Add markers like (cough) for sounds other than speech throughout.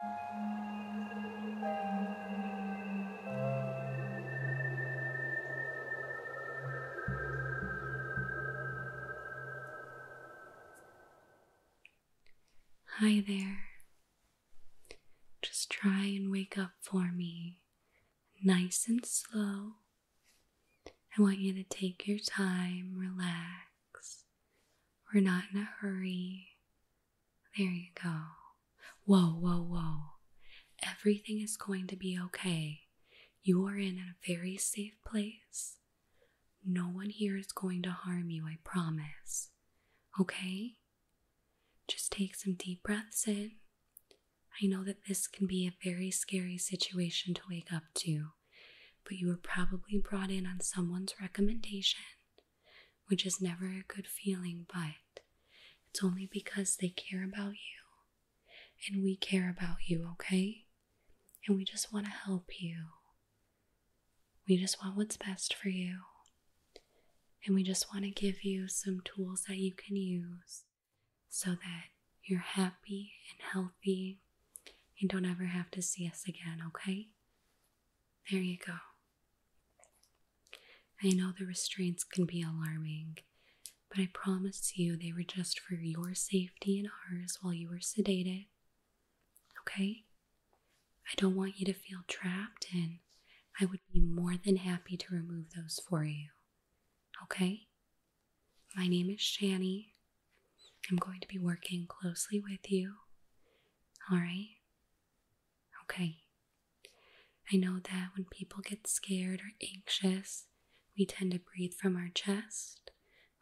Hi there. Just try and wake up for me. Nice and slow. I want you to take your time, relax. We're not in a hurry. There you go. Whoa, whoa, whoa. Everything is going to be okay. You are in a very safe place. No one here is going to harm you, I promise. Okay? Just take some deep breaths in. I know that this can be a very scary situation to wake up to, but you were probably brought in on someone's recommendation which is never a good feeling, but it's only because they care about you and we care about you, okay? And we just want to help you. We just want what's best for you. And we just want to give you some tools that you can use so that you're happy and healthy and don't ever have to see us again, okay? There you go. I know the restraints can be alarming, but I promise you they were just for your safety and ours while you were sedated. Okay? I don't want you to feel trapped, and I would be more than happy to remove those for you. Okay? My name is Shani. I'm going to be working closely with you. All right? Okay. I know that when people get scared or anxious, we tend to breathe from our chest,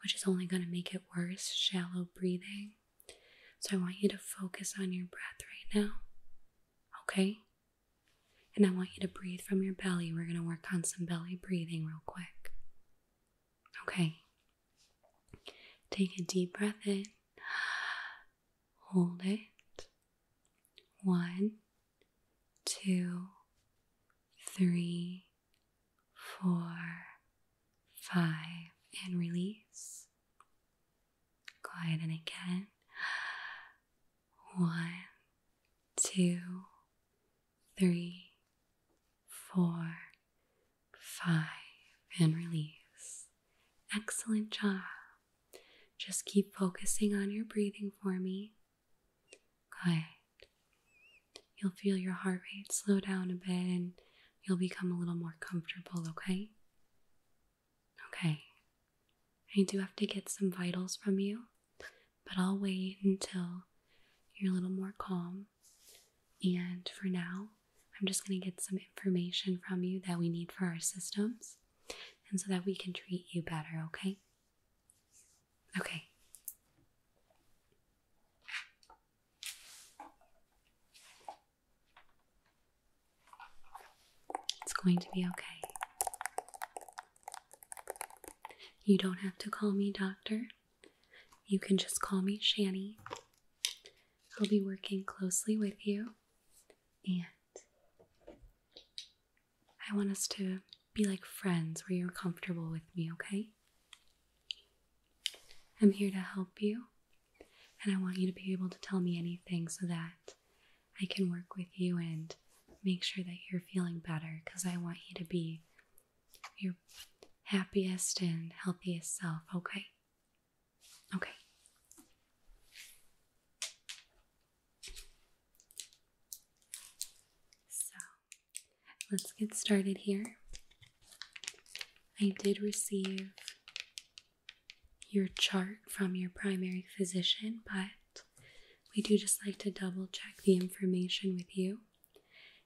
which is only going to make it worse, shallow breathing. So I want you to focus on your breath right now. Okay? And I want you to breathe from your belly. We're going to work on some belly breathing real quick. Okay, Take a deep breath in, hold it. One, two, three, four, five, and release. Quiet, and again. One, two, three, four, Five and release. Excellent job. Just keep focusing on your breathing for me. Good. You'll feel your heart rate slow down a bit and you'll become a little more comfortable, okay? Okay. I do have to get some vitals from you, but I'll wait until you're a little more calm. And for now, I'm just going to get some information from you that we need for our systems and so that we can treat you better, okay? Okay. It's going to be okay. You don't have to call me doctor. You can just call me Shanny. I'll be working closely with you, and I want us to be like friends where you're comfortable with me, okay? I'm here to help you, and I want you to be able to tell me anything so that I can work with you and make sure that you're feeling better because I want you to be your happiest and healthiest self, okay? Okay. So let's get started here. I did receive your chart from your primary physician, but we do just like to double check the information with you.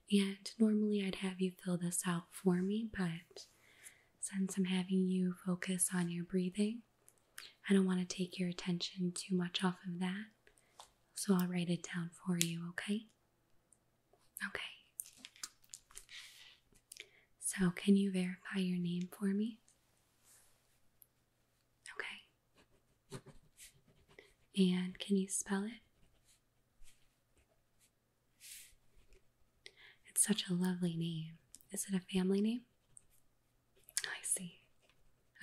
And normally I'd have you fill this out for me, but since I'm having you focus on your breathing, I don't want to take your attention too much off of that. So I'll write it down for you, okay? Okay. So, can you verify your name for me? Okay. And can you spell it? It's such a lovely name. Is it a family name? Oh, I see.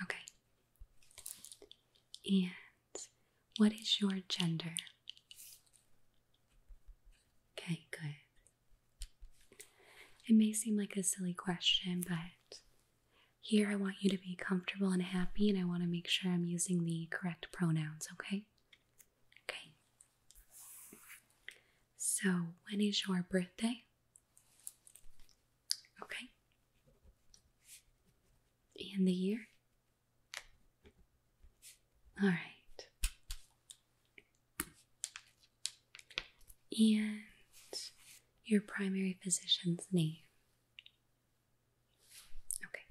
Okay. And what is your gender? Okay, good. It may seem like a silly question, but here I want you to be comfortable and happy, and I want to make sure I'm using the correct pronouns, okay? Okay, so, when is your birthday? Okay. And the year? All right. And your primary physician's name. Okay.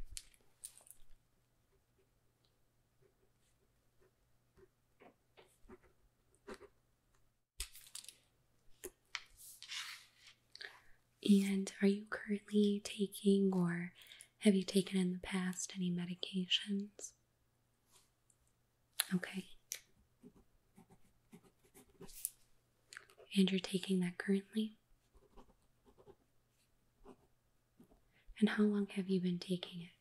And are you currently taking or have you taken in the past any medications? Okay. And you're taking that currently? And how long have you been taking it?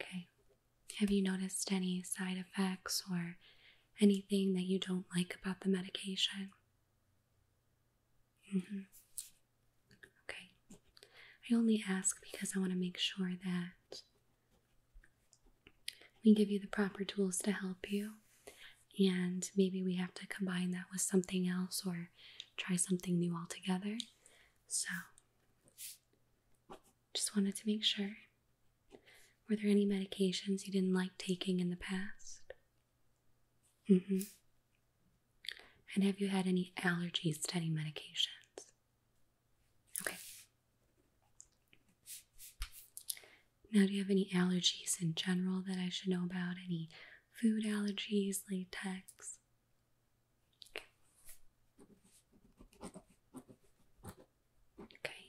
Okay. Have you noticed any side effects or anything that you don't like about the medication? Mm -hmm. Okay. I only ask because I want to make sure that we give you the proper tools to help you and maybe we have to combine that with something else or try something new altogether. So, just wanted to make sure. Were there any medications you didn't like taking in the past? Mm hmm. And have you had any allergies to any medications? Okay. Now, do you have any allergies in general that I should know about? Any food allergies, latex? Okay.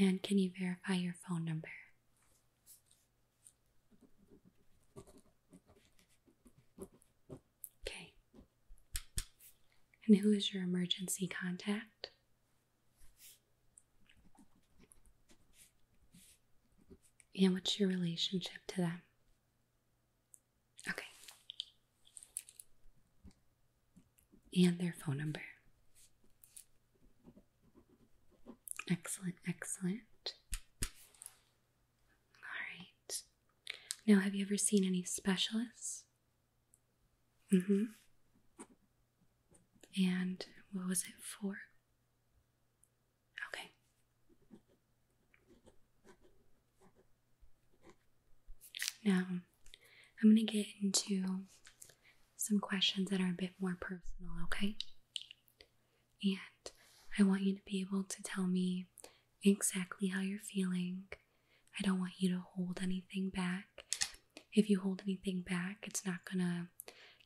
And can you verify your phone number? Okay. And who is your emergency contact? And what's your relationship to them? Okay. And their phone number. Excellent, excellent. All right. Now, have you ever seen any specialists? Mm hmm. And what was it for? Okay. Now, I'm going to get into some questions that are a bit more personal, okay? And I want you to be able to tell me exactly how you're feeling. I don't want you to hold anything back if you hold anything back, it's not going to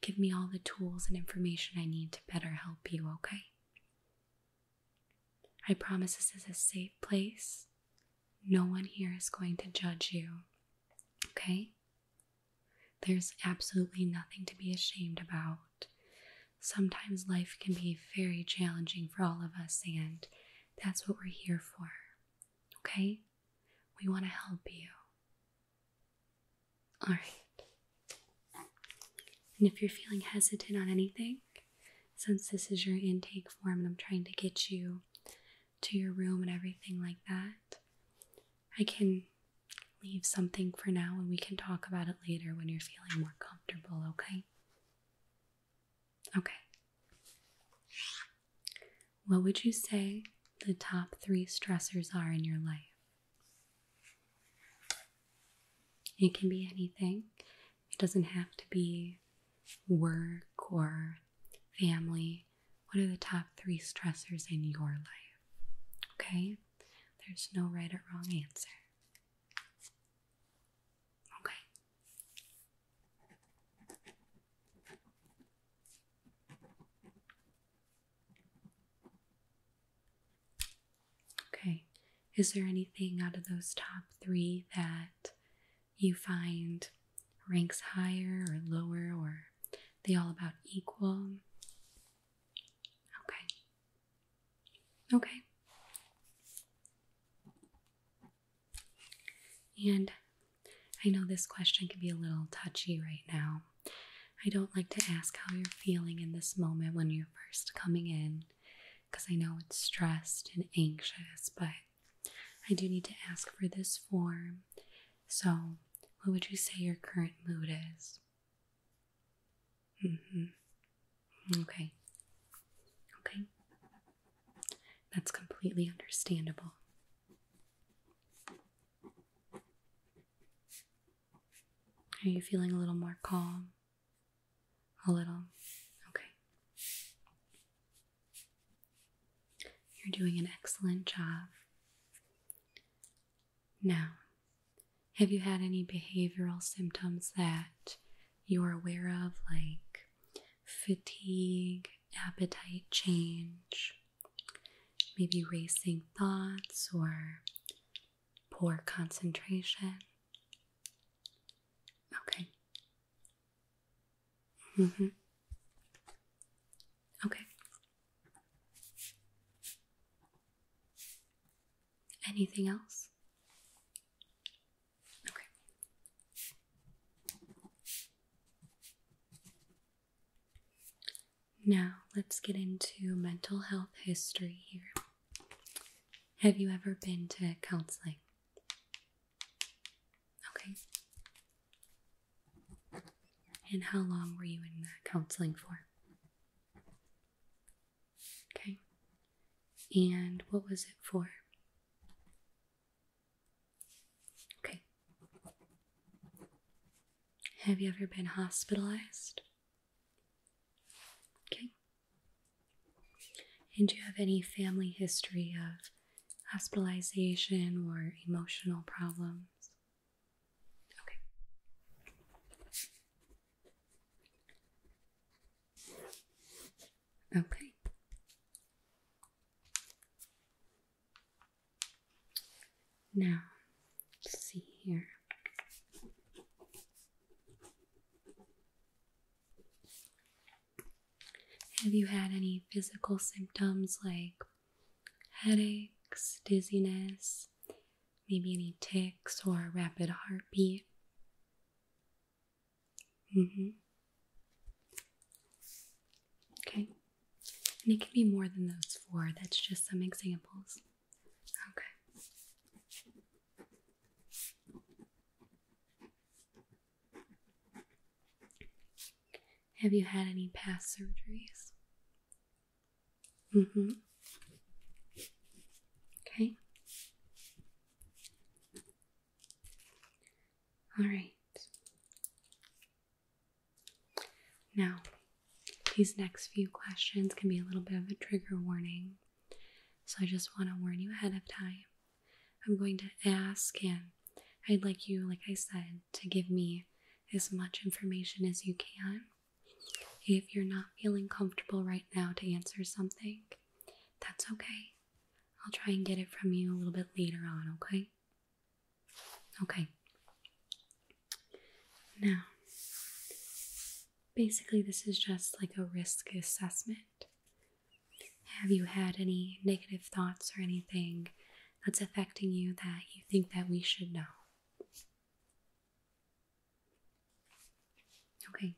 give me all the tools and information I need to better help you, okay? I promise this is a safe place. No one here is going to judge you, okay? There's absolutely nothing to be ashamed about. Sometimes life can be very challenging for all of us, and that's what we're here for, okay? We want to help you. All right. And if you're feeling hesitant on anything, since this is your intake form and I'm trying to get you to your room and everything like that, I can leave something for now and we can talk about it later when you're feeling more comfortable, okay? Okay. What would you say the top three stressors are in your life? It can be anything, it doesn't have to be work or family. What are the top three stressors in your life? Okay, there's no right or wrong answer. Okay. Okay, is there anything out of those top three that you find ranks higher or lower, or they all about equal? Okay. Okay. And I know this question can be a little touchy right now. I don't like to ask how you're feeling in this moment when you're first coming in because I know it's stressed and anxious, but I do need to ask for this form. So, what would you say your current mood is? Mm-hmm. Okay. Okay. That's completely understandable. Are you feeling a little more calm? A little. Okay. You're doing an excellent job. Now, have you had any behavioral symptoms that you're aware of, like fatigue, appetite change, maybe racing thoughts or poor concentration. Okay. Mm-hmm. Okay. Anything else? Okay. Now, let's get into mental health history here. Have you ever been to counseling? Okay. And how long were you in counseling for? Okay. And what was it for? Okay. Have you ever been hospitalized? Okay. And do you have any family history of hospitalization or emotional problems? Okay. Okay. Now, see here. Have you had any physical symptoms like headaches, dizziness, maybe any tics or a rapid heartbeat? Mm-hmm. Okay. And it can be more than those four, that's just some examples. Okay. Have you had any past surgeries? Mm hmm. Okay. All right. Now, these next few questions can be a little bit of a trigger warning, so I just want to warn you ahead of time. I'm going to ask, and I'd like you, like I said, to give me as much information as you can. If you're not feeling comfortable right now to answer something, that's okay. I'll try and get it from you a little bit later on, okay? Okay. Now, basically, this is just like a risk assessment. Have you had any negative thoughts or anything that's affecting you that you think that we should know? Okay.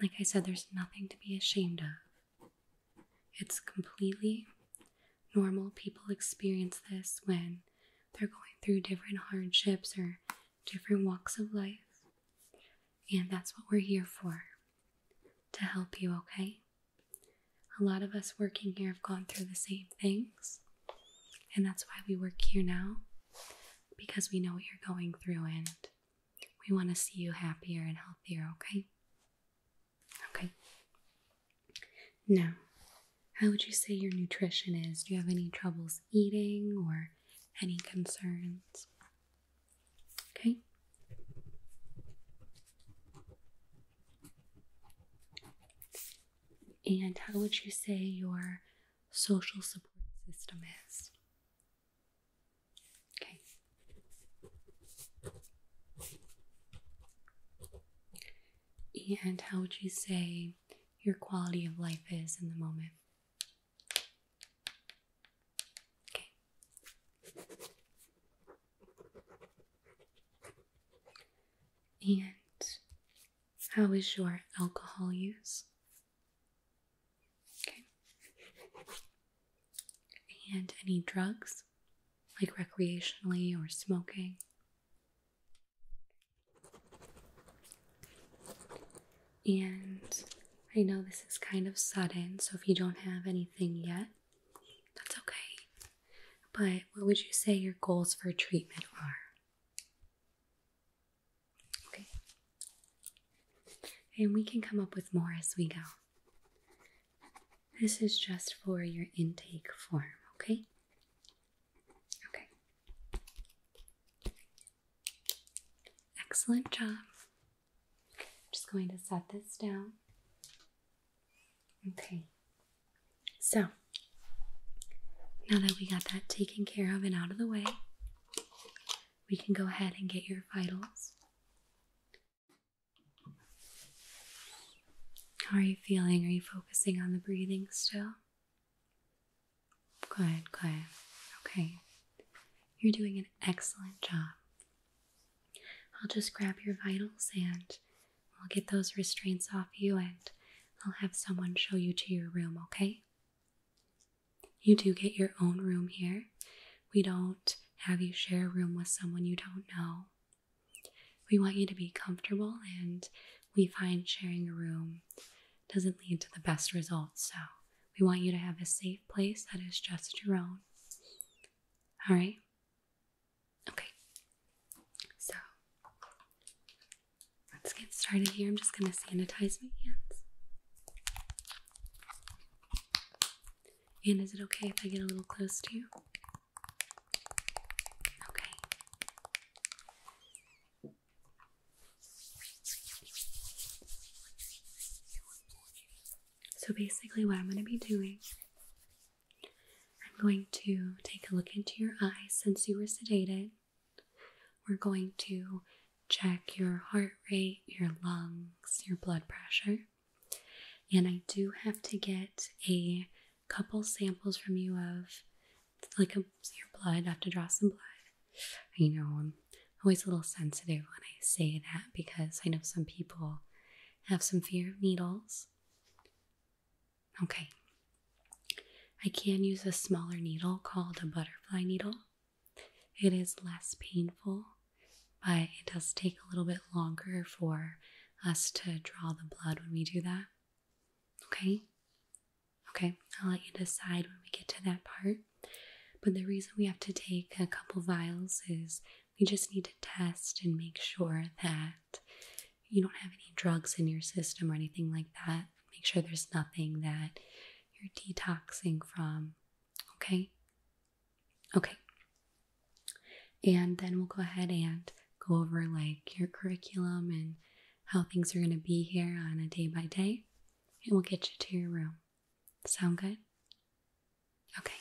Like I said, there's nothing to be ashamed of. It's completely normal people experience this when they're going through different hardships or different walks of life. And that's what we're here for to help you, okay? A lot of us working here have gone through the same things, and that's why we work here now because we know what you're going through and we want to see you happier and healthier, okay? Okay. Now, how would you say your nutrition is? Do you have any troubles eating or any concerns? Okay. And how would you say your social support system is? Okay. And how would you say your quality of life is in the moment? And how is your alcohol use? Okay. And any drugs? like recreationally or smoking. And I know this is kind of sudden, so if you don't have anything yet, that's okay. But what would you say your goals for treatment are? Okay. And we can come up with more as we go. This is just for your intake form, okay? Okay. Excellent job. just going to set this down. Okay. So, now that we got that taken care of and out of the way, we can go ahead and get your vitals. How are you feeling? Are you focusing on the breathing still? Good, good. Okay. You're doing an excellent job. I'll just grab your vitals and we'll get those restraints off you and I'll have someone show you to your room, okay? You do get your own room here. We don't have you share a room with someone you don't know. We want you to be comfortable, and we find sharing a room doesn't lead to the best results. So we want you to have a safe place that is just your own. All right? Okay. So let's get started here. I'm just going to sanitize my hands. And is it okay if I get a little close to you? Okay. So basically, what I'm going to be doing, I'm going to take a look into your eyes since you were sedated. We're going to check your heart rate, your lungs, your blood pressure. And I do have to get a couple samples from you of like your blood. I have to draw some blood. You know I'm always a little sensitive when I say that because I know some people have some fear of needles. Okay. I can use a smaller needle called a butterfly needle. It is less painful but it does take a little bit longer for us to draw the blood when we do that. Okay? Okay, I'll let you decide when we get to that part. But the reason we have to take a couple vials is we just need to test and make sure that you don't have any drugs in your system or anything like that. Make sure there's nothing that you're detoxing from. Okay? Okay. And then we'll go ahead and go over like your curriculum and how things are going to be here on a day by day, and we'll get you to your room. Sound good? Okay.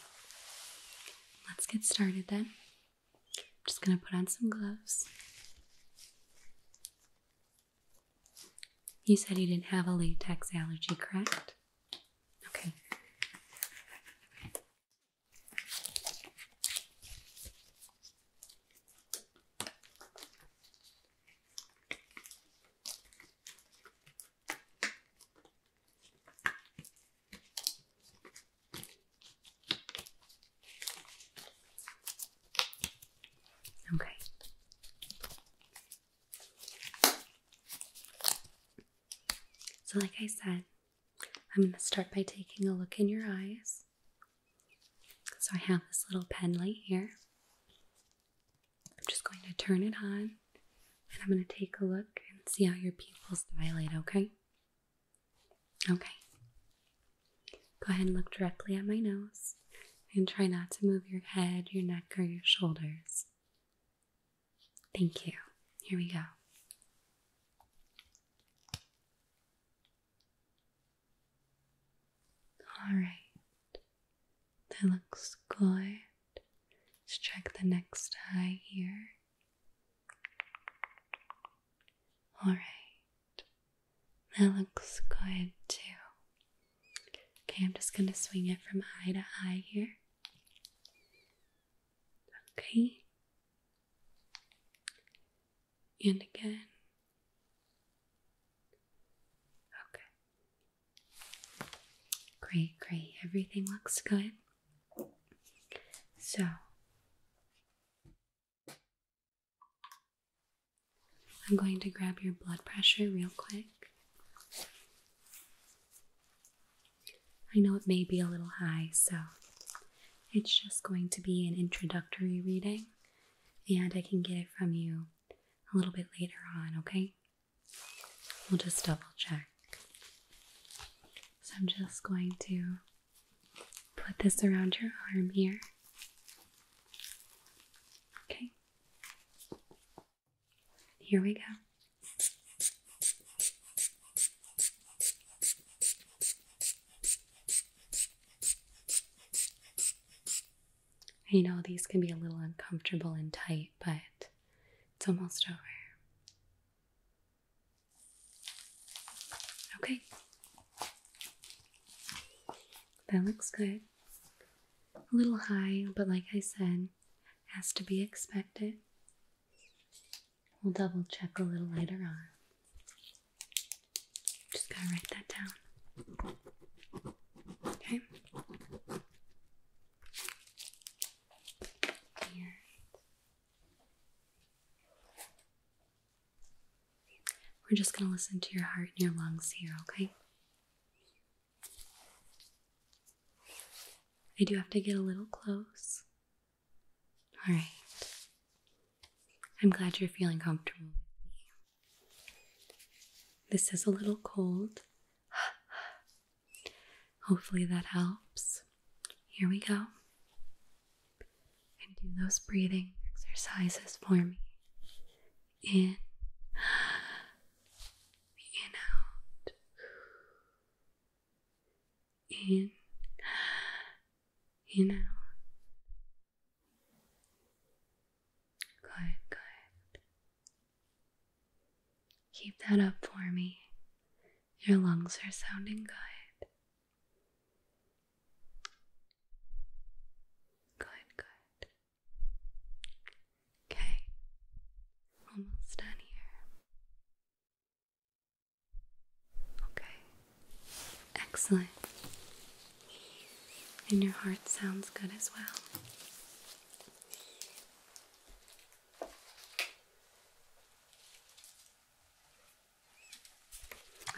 Let's get started then. I'm just going to put on some gloves. You said you didn't have a latex allergy, correct? Okay. Okay. So, like I said, I'm going to start by taking a look in your eyes. So I have this little pen light here. I'm just going to turn it on and I'm going to take a look and see how your pupils dilate, okay? Okay. Go ahead and look directly at my nose and try not to move your head, your neck, or your shoulders. Thank you. Here we go. All right. That looks good. Let's check the next eye here. All right. That looks good too. Okay, I'm just going to swing it from eye to eye here. Okay. And again. Okay. Great, great. Everything looks good. So, I'm going to grab your blood pressure real quick. I know it may be a little high, so it's just going to be an introductory reading, and I can get it from you a little bit later on, okay? We'll just double check. So I'm just going to put this around your arm here. Okay. Here we go. You know these can be a little uncomfortable and tight, but it's almost over. Okay. That looks good. A little high, but like I said, has to be expected. We'll double check a little later on. Just gotta write that down. Okay. And we're just gonna listen to your heart and your lungs here, okay? I do have to get a little close all right. I'm glad you're feeling comfortable This is a little cold. (gasps) Hopefully that helps. Here we go. And do those breathing exercises for me. In, (gasps) in out in, in out. Good, good. Keep that up for me. Your lungs are sounding good. Good, good. Okay, almost done here. Okay, excellent. And your heart sounds good as well.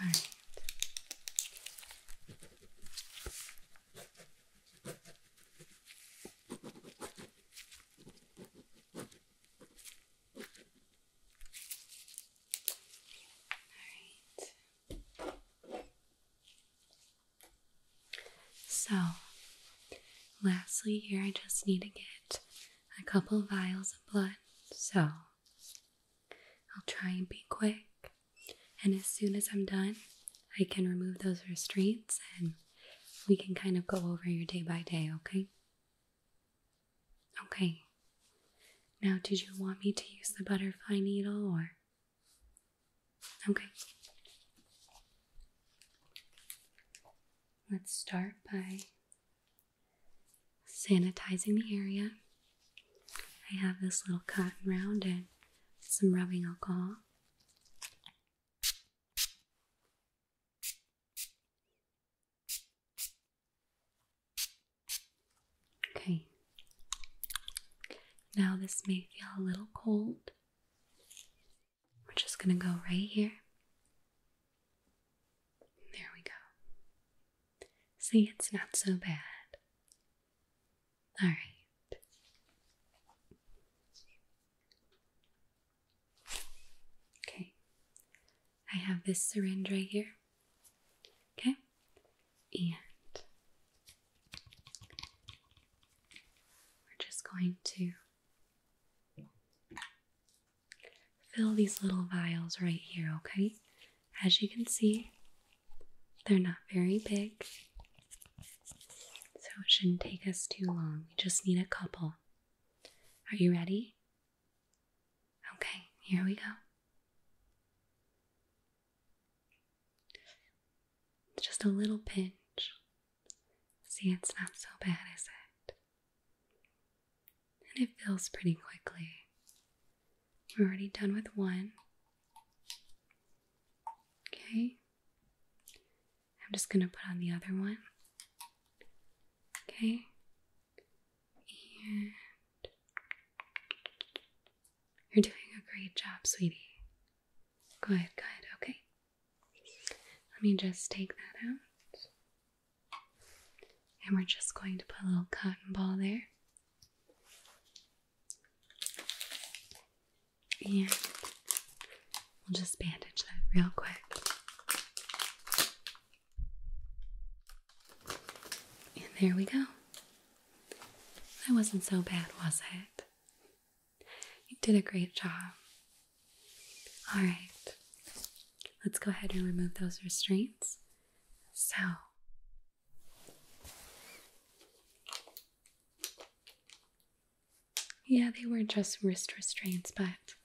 All right. So, lastly, here I just need to get a couple vials of blood. So, I'll try and be quick. And as soon as I'm done, I can remove those restraints and we can kind of go over your day by day, okay? Okay. Now, did you want me to use the butterfly needle or? Okay. Let's start by sanitizing the area. I have this little cotton round and some rubbing alcohol. Okay. Now, this may feel a little cold. We're just going to go right here. There we go. See, it's not so bad. All right. Okay, I have this syringe right here. Okay, and we're just going to fill these little vials right here, okay? As you can see, they're not very big, so it shouldn't take us too long. We just need a couple. Are you ready? Okay, here we go. Just a little pinch. See, it's not so bad, is it? And it feels pretty quickly. We're already done with one. Okay. I'm just going to put on the other one. Okay. And you're doing a great job, sweetie. Good, good. Okay. Let me just take that out. And we're just going to put a little cotton ball there. And We'll just bandage that real quick. And there we go. That wasn't so bad, was it? You did a great job. All right. Let's go ahead and remove those restraints. So, yeah, they were just wrist restraints, but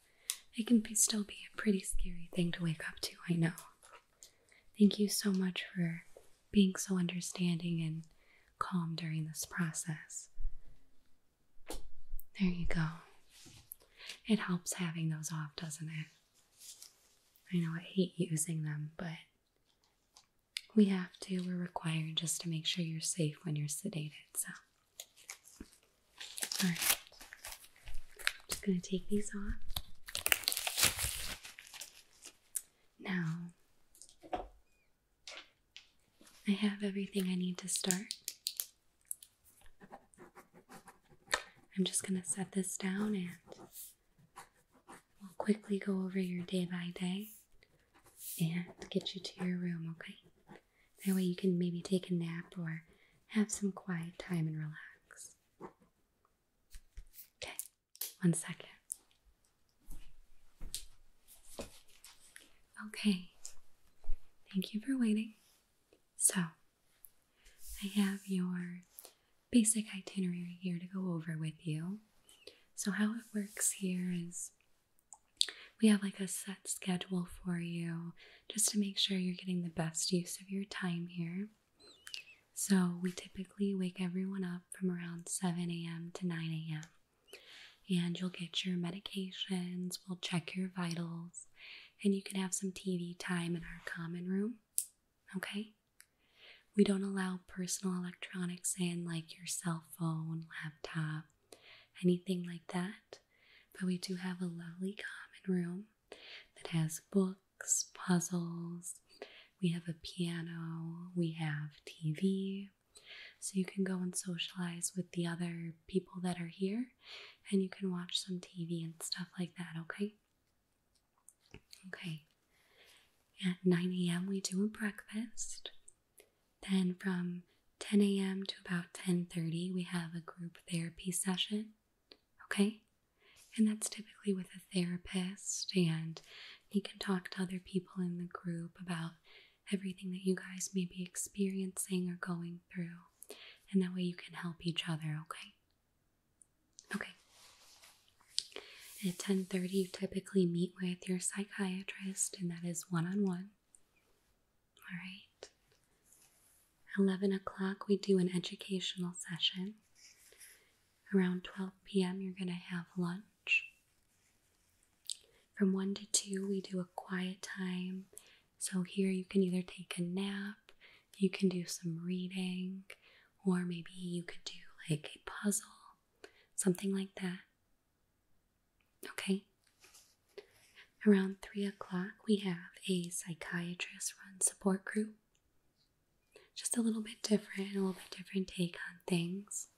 they can still be a pretty scary thing to wake up to, I know. Thank you so much for being so understanding and calm during this process. There you go. It helps having those off, doesn't it? I know I hate using them, but we have to. We're required just to make sure you're safe when you're sedated, so. All right. I'm just going to take these off. Now, I have everything I need to start. I'm just going to set this down and we'll quickly go over your day by day and get you to your room, okay? That way you can maybe take a nap or have some quiet time and relax. Okay, one second. Okay, thank you for waiting. So, I have your basic itinerary here to go over with you. So, how it works here is we have like a set schedule for you just to make sure you're getting the best use of your time here. So, we typically wake everyone up from around 7 a.m. to 9 a.m. And you'll get your medications, we'll check your vitals, and you can have some TV time in our common room. Okay? We don't allow personal electronics in like your cell phone, laptop, anything like that. But we do have a lovely common room that has books, puzzles, we have a piano, we have TV. So you can go and socialize with the other people that are here and you can watch some TV and stuff like that, okay? Okay. At 9 a.m., we do a breakfast. Then from 10 a.m. to about 10:30 we have a group therapy session. Okay? And that's typically with a therapist and you can talk to other people in the group about everything that you guys may be experiencing or going through. And that way you can help each other, okay? Okay. At 10:30 you typically meet with your psychiatrist and that is one-on-one. All right. 11 o'clock, we do an educational session. Around 12 p.m., you're going to have lunch. From 1 to 2, we do a quiet time. So, here you can either take a nap, you can do some reading, or maybe you could do like a puzzle, something like that. Okay. Around 3 o'clock, we have a psychiatrist run support group. Just a little bit different, a little bit different take on things.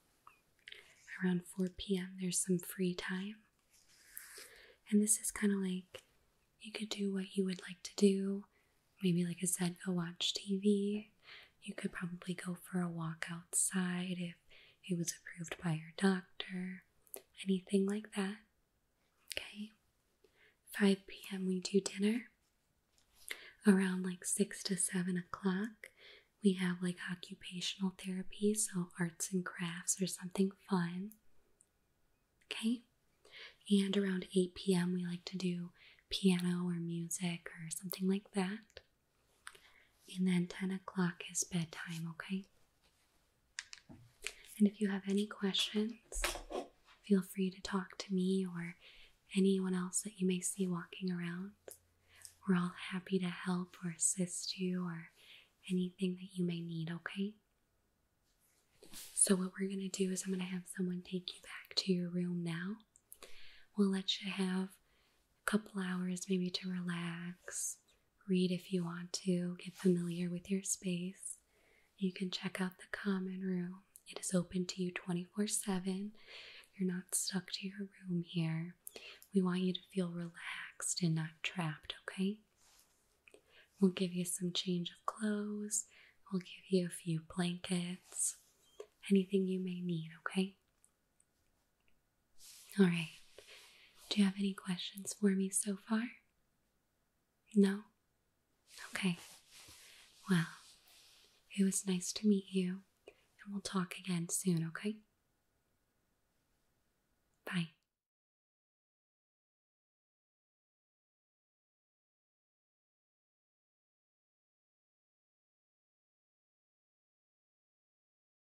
Around 4 p.m., there's some free time. And this is kind of like you could do what you would like to do. Maybe, like I said, go watch TV. You could probably go for a walk outside if it was approved by your doctor anything like that. Okay. 5 p.m. we do dinner. Around like 6 to 7 o'clock, we have like occupational therapy, so arts and crafts or something fun. Okay. And around 8 p.m., we like to do piano or music or something like that. And then 10 o'clock is bedtime, okay? And if you have any questions, feel free to talk to me or anyone else that you may see walking around. We're all happy to help or assist you or anything that you may need, okay? So, what we're going to do is, I'm going to have someone take you back to your room now. We'll let you have a couple hours maybe to relax, read if you want to, get familiar with your space. You can check out the common room. It is open to you 24 7. You're not stuck to your room here. We want you to feel relaxed and not trapped, okay? We'll give you some change of clothes. We'll give you a few blankets, anything you may need, okay? All right. Do you have any questions for me so far? No? Okay. Well, it was nice to meet you, and we'll talk again soon, okay? Bye.